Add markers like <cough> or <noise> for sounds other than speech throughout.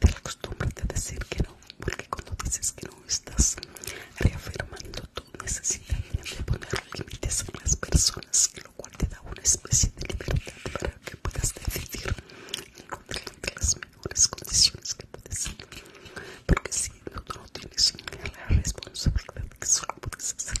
en la costumbre de decir que no, porque cuando dices que no estás reafirmando tu necesidad de poner límites a las personas, lo cual te da una especie de libertad para que puedas decidir de las mejores condiciones que puedes porque si no, no tienes la responsabilidad que solo puedes hacer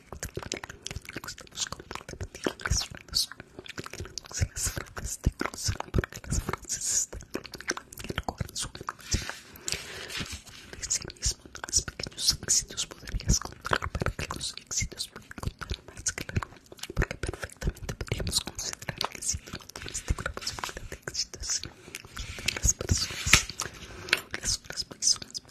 de manera que no Si las frases te cruzan, porque las frases están en el corazón. De sí mismo, los pequeños éxitos podrías contar, pero los éxitos pueden contar más, que la claro. Porque perfectamente podríamos considerar que si no tienes ninguna posibilidad de éxitos, las personas, las otras personas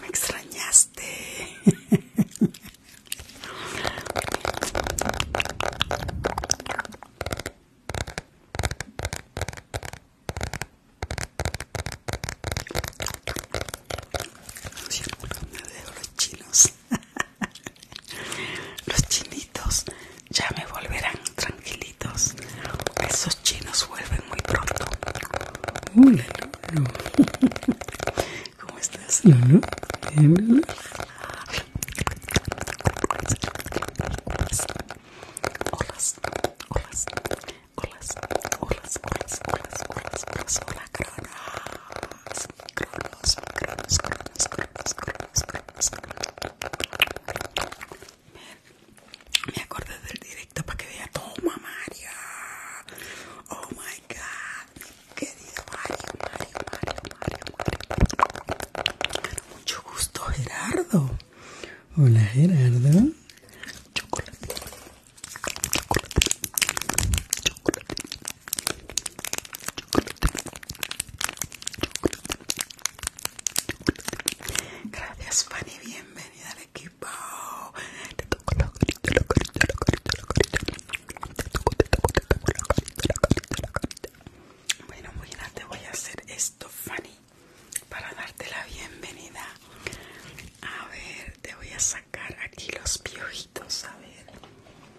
Me extrañaste. Siempre me dejo los chinos. <laughs> Los chinitos ya me volverán tranquilitos. Esos chinos vuelven muy pronto. Hola, ¿Cómo estás, hola, hola, hola, hola, hola, hola, hola, me acordé del directo para que vea toma Mario. Oh my god. Querido Mario, Mario, Mario, Mario, Mario. Mucho gusto, Gerardo. Hola Gerardo. Chocolate. Chocolate. Chocolate. Gracias Fanny, bienvenida al equipo. Te toco la carita, Te toco, te toco, te toco Bueno, voy a hacer esto, Fanny, para darte la bienvenida. A ver, te voy a sacar aquí los piojitos, a ver.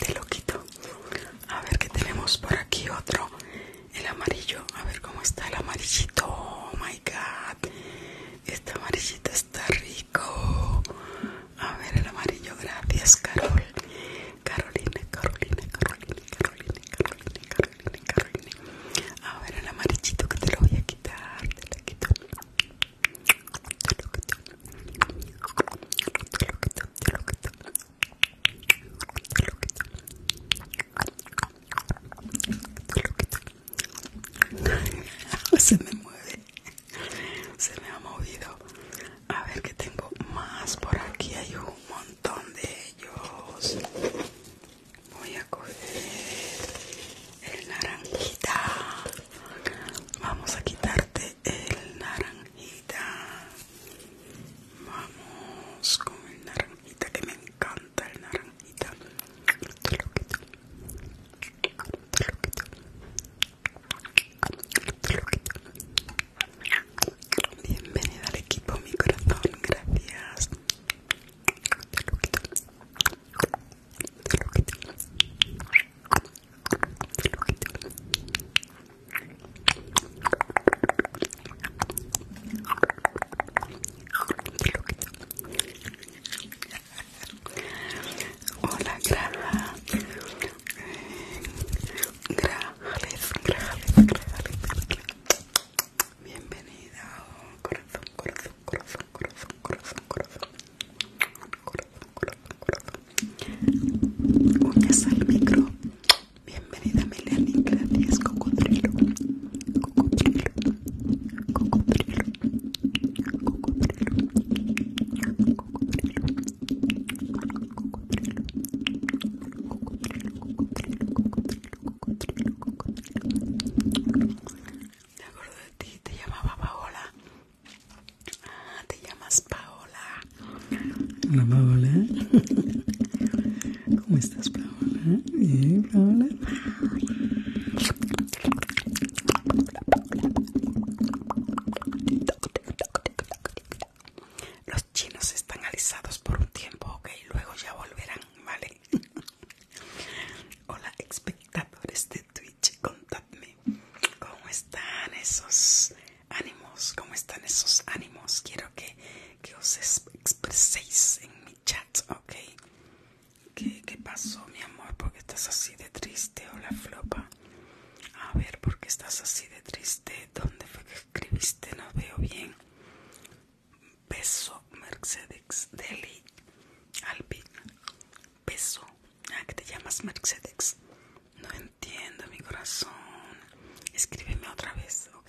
Te lo quito. A ver que tenemos por aquí otro. El amarillo. A ver cómo está el amarillito. Oh my god. Este amarillito está rico. A ver el amarillo. Gracias, Carol. Carolina, Carolina, Carolina, Carolina, Carolina, Carolina, Carolina. A ver el amarillito que te lo voy a quitar. Te lo quito. <laughs> Se me mueve, se me ha movido. A ver que tengo más por aquí. Hay un montón de ellos. Voy a coger el naranjita. Vamos a quitarte el naranjita. Vamos con el naranjita que me encanta el naranjita. Bienvenida al equipo mi corazón, gracias. Hola, Graja. Grajales, grajales, grajales. Bienvenida, corazón, corazón, corazón, corazón, corazón, corazón corazón, corazón, corazón. Uñas al micro. Bienvenida Melanie, gracias cocodrilo. Cocodrilo. Cocodrilo. Cocodrilo. Cocodrilo. Cocodrilo. Cocodrilo. Cocodrilo. Cocodrilo. Cocodrilo. Cocodrilo me acuerdo de ti, te llamaba Paola. Ah, te llamas Paola. Hola Paola. ¿Cómo estás Paola? Bien, Paola. Los chinos están alisados por un tiempo, ok, luego ya volverán, ¿vale? <laughs> Hola espectadores de Twitch, contadme cómo están esos ánimos, cómo están esos ánimos. Quiero que, que os expreséis en mi chat, ¿ok? ¿Qué, ¿Qué pasó, mi amor? ¿Por qué estás así de triste? Hola, flopa. A ver, ¿por qué estás así de triste? ¿Dónde fue que escribiste? No veo bien. Peso Mercedes Deli Alpin, Peso Ah que te llamas Mercedes No entiendo mi corazón Escríbeme otra vez Ok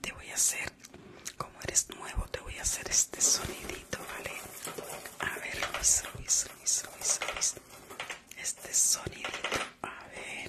te voy a hacer como eres nuevo te voy a hacer este sonidito vale a ver Luis Luis Luis Luis, Luis. este sonidito a ver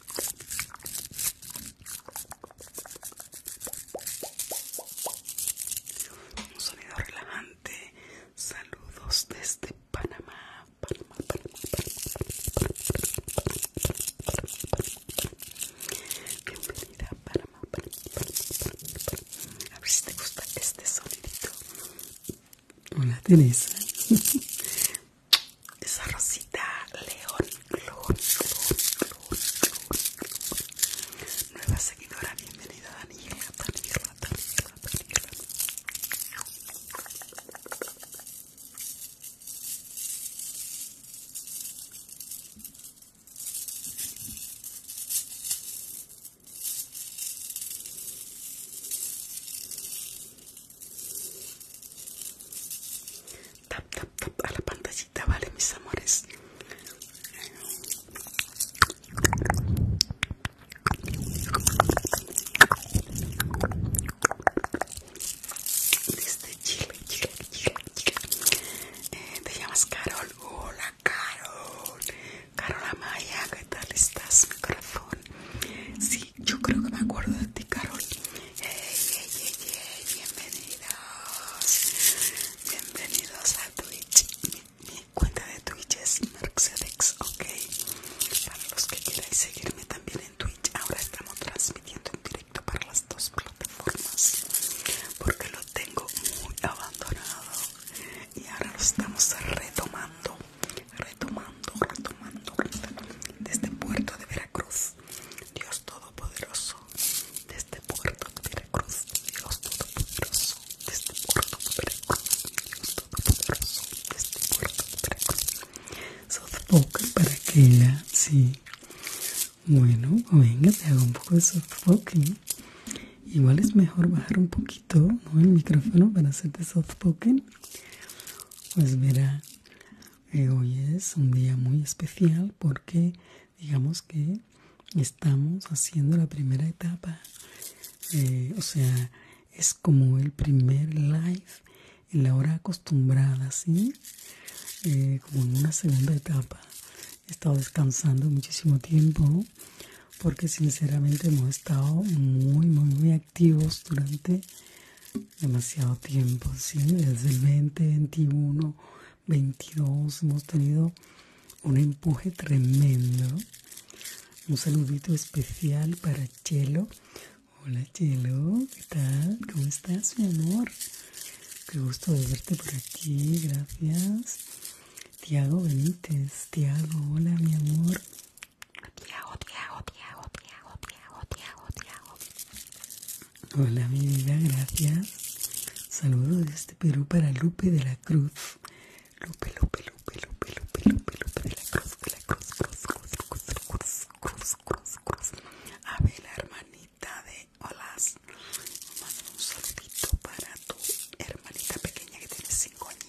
Un sonido relajante. Saludos desde Panamá. Panamá, Panamá, Bienvenida a Panamá, A ver si te gusta este sonidito. Hola, Teresa esa rosita león, Nueva seguidora, bienvenida Daniela, Daniela. Tap, tap, tap a la pantallita, vale, mis amores. Este Chile, Chile, Chile, Chile. Eh, te llamas Carol. Hola, Carol. Carol Amaya, ¿qué tal estás, mi corazón? yo creo que me acuerdo de ti, Carol. Hey, hey, hey, hey. Bienvenidos. Bienvenidos a Twitch. Mi, cuenta de Twitch es Mercedex, ok. Para los que quieran seguirme también en Twitch, ahora estamos transmitiendo en directo para las dos plataformas. Porque lo tengo muy abandonado y ahora lo estamos retomando retomando, retomando, desde Puerto de Veracruz, Dios Todopoderoso, desde este Puerto de Veracruz, Dios Todopoderoso, desde este Puerto de Veracruz, Dios Todopoderoso, desde este Puerto de Veracruz, para que la, sí, bueno, venga, te hago un poco de softpoking. Igual es mejor bajar un poquito el micrófono para hacerte softpoking pues verá, eh, hoy es un día muy especial porque digamos que estamos haciendo la primera etapa. Eh, o sea, es como el primer live en la hora acostumbrada, ¿sí? Eh, como en una segunda etapa. He estado descansando muchísimo tiempo porque sinceramente hemos estado muy muy muy activos durante demasiado tiempo ¿sí? desde el 20 21 22 hemos tenido un empuje tremendo un saludito especial para Chelo hola Chelo ¿qué tal? ¿cómo estás mi amor? qué gusto de verte por aquí gracias Tiago Benítez Tiago hola mi amor Hola mi vida, gracias. Saludos desde Perú para Lupe de la Cruz. Lupe, Lupe, Lupe, Lupe, Lupe, Lupe, Lupe de la Cruz, de la Cruz, Cruz, Cruz, Cruz, Cruz, Cruz, Cruz, A ver, la hermanita de Olas. un saludito para tu hermanita pequeña que tiene cinco. años.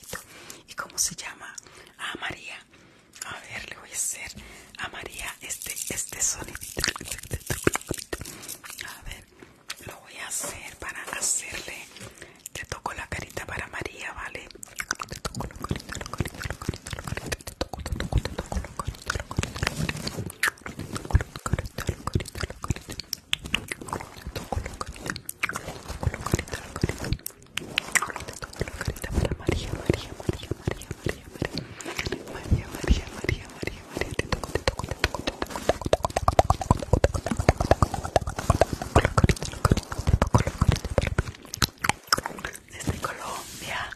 ¿Y cómo se llama? a ah, María. A ver, le voy a hacer a María este, este A ver, lo voy a hacer para hacerle. Te toco la carita para María, ¿vale? desde Colombia.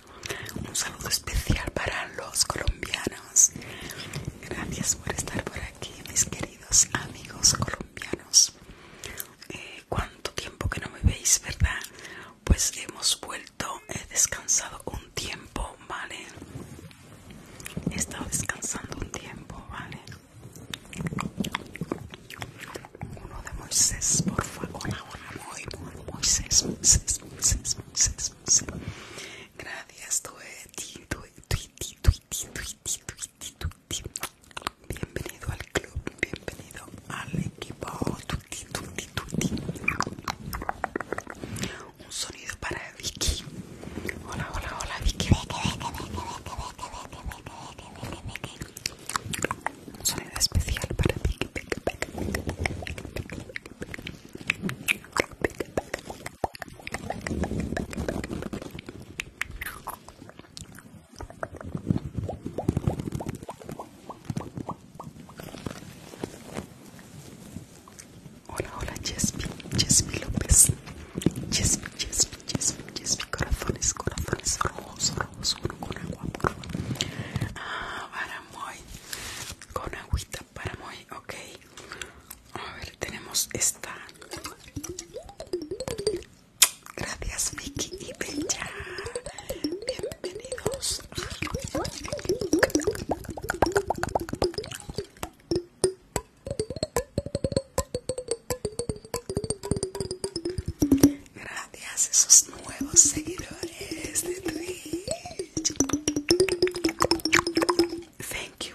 Un saludo especial para los colombianos. Gracias por estar por aquí, mis queridos amigos colombianos. Eh, ¿Cuánto tiempo que no me veis, verdad? Pues hemos vuelto, he descansado un tiempo, ¿vale? He estado descansando un tiempo, ¿vale? Uno de Moisés, por favor, una, una, muy, muy, Moisés, Moisés, Moisés, Moisés, Moisés. Gracias, tueti, tueti, tueti, tueti, Bienvenido al club, bienvenido al equipo. Un sonido para Vicky. Hola, hola, hola, Vicky. Un sonido especial para Vicky. Hola, hola, Jespi, Jespi López. Jespi, Jespi, Jespi, Jespi, corazones, corazones rojos, rojos, uno con agua, por Ah, para muy, con agüita, para muy, ok. A ver, tenemos esta. Gracias, Vicky y Bella. Bienvenidos. Gracias a esos nuevos seguidores de Twitch. Thank you.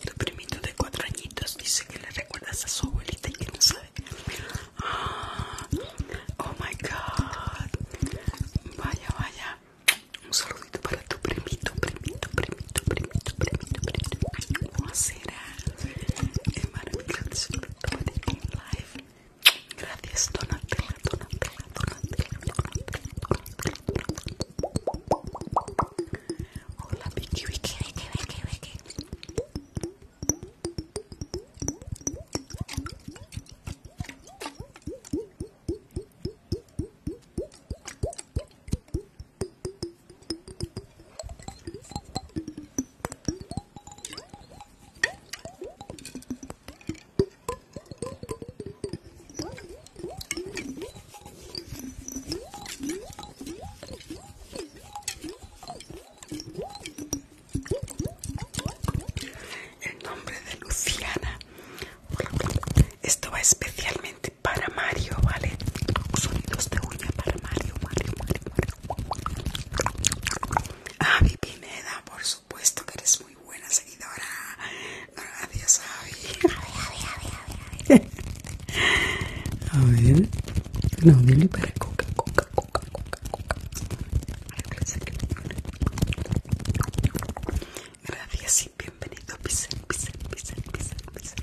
Tu primito de cuatro añitos dice que le recuerdas a su abuelita y que no sabe. Ah, oh my god. Vaya, vaya. Un saludito para tu primito, primito, primito, primito, primito, primito será maravilloso live. Gracias, Donatella, Donatella, Donatella, Donatella, Donatella. Hola, Vicky, Vicky, Vicky, Vicky, Vicky. El nombre de Luciana. Esto va especialmente para Mario, ¿vale? Sonidos de uña para Mario, Mario, Mario, Mario. Abby ah, Pineda, por supuesto que eres muy buena seguidora. Gracias, Avi. A ver, Avi, a ver. No, dile para coca, coca, coca, coca, coca. Gracias y bienvenido, Pisen, Pisen, Pisen, Pisen, Pisen.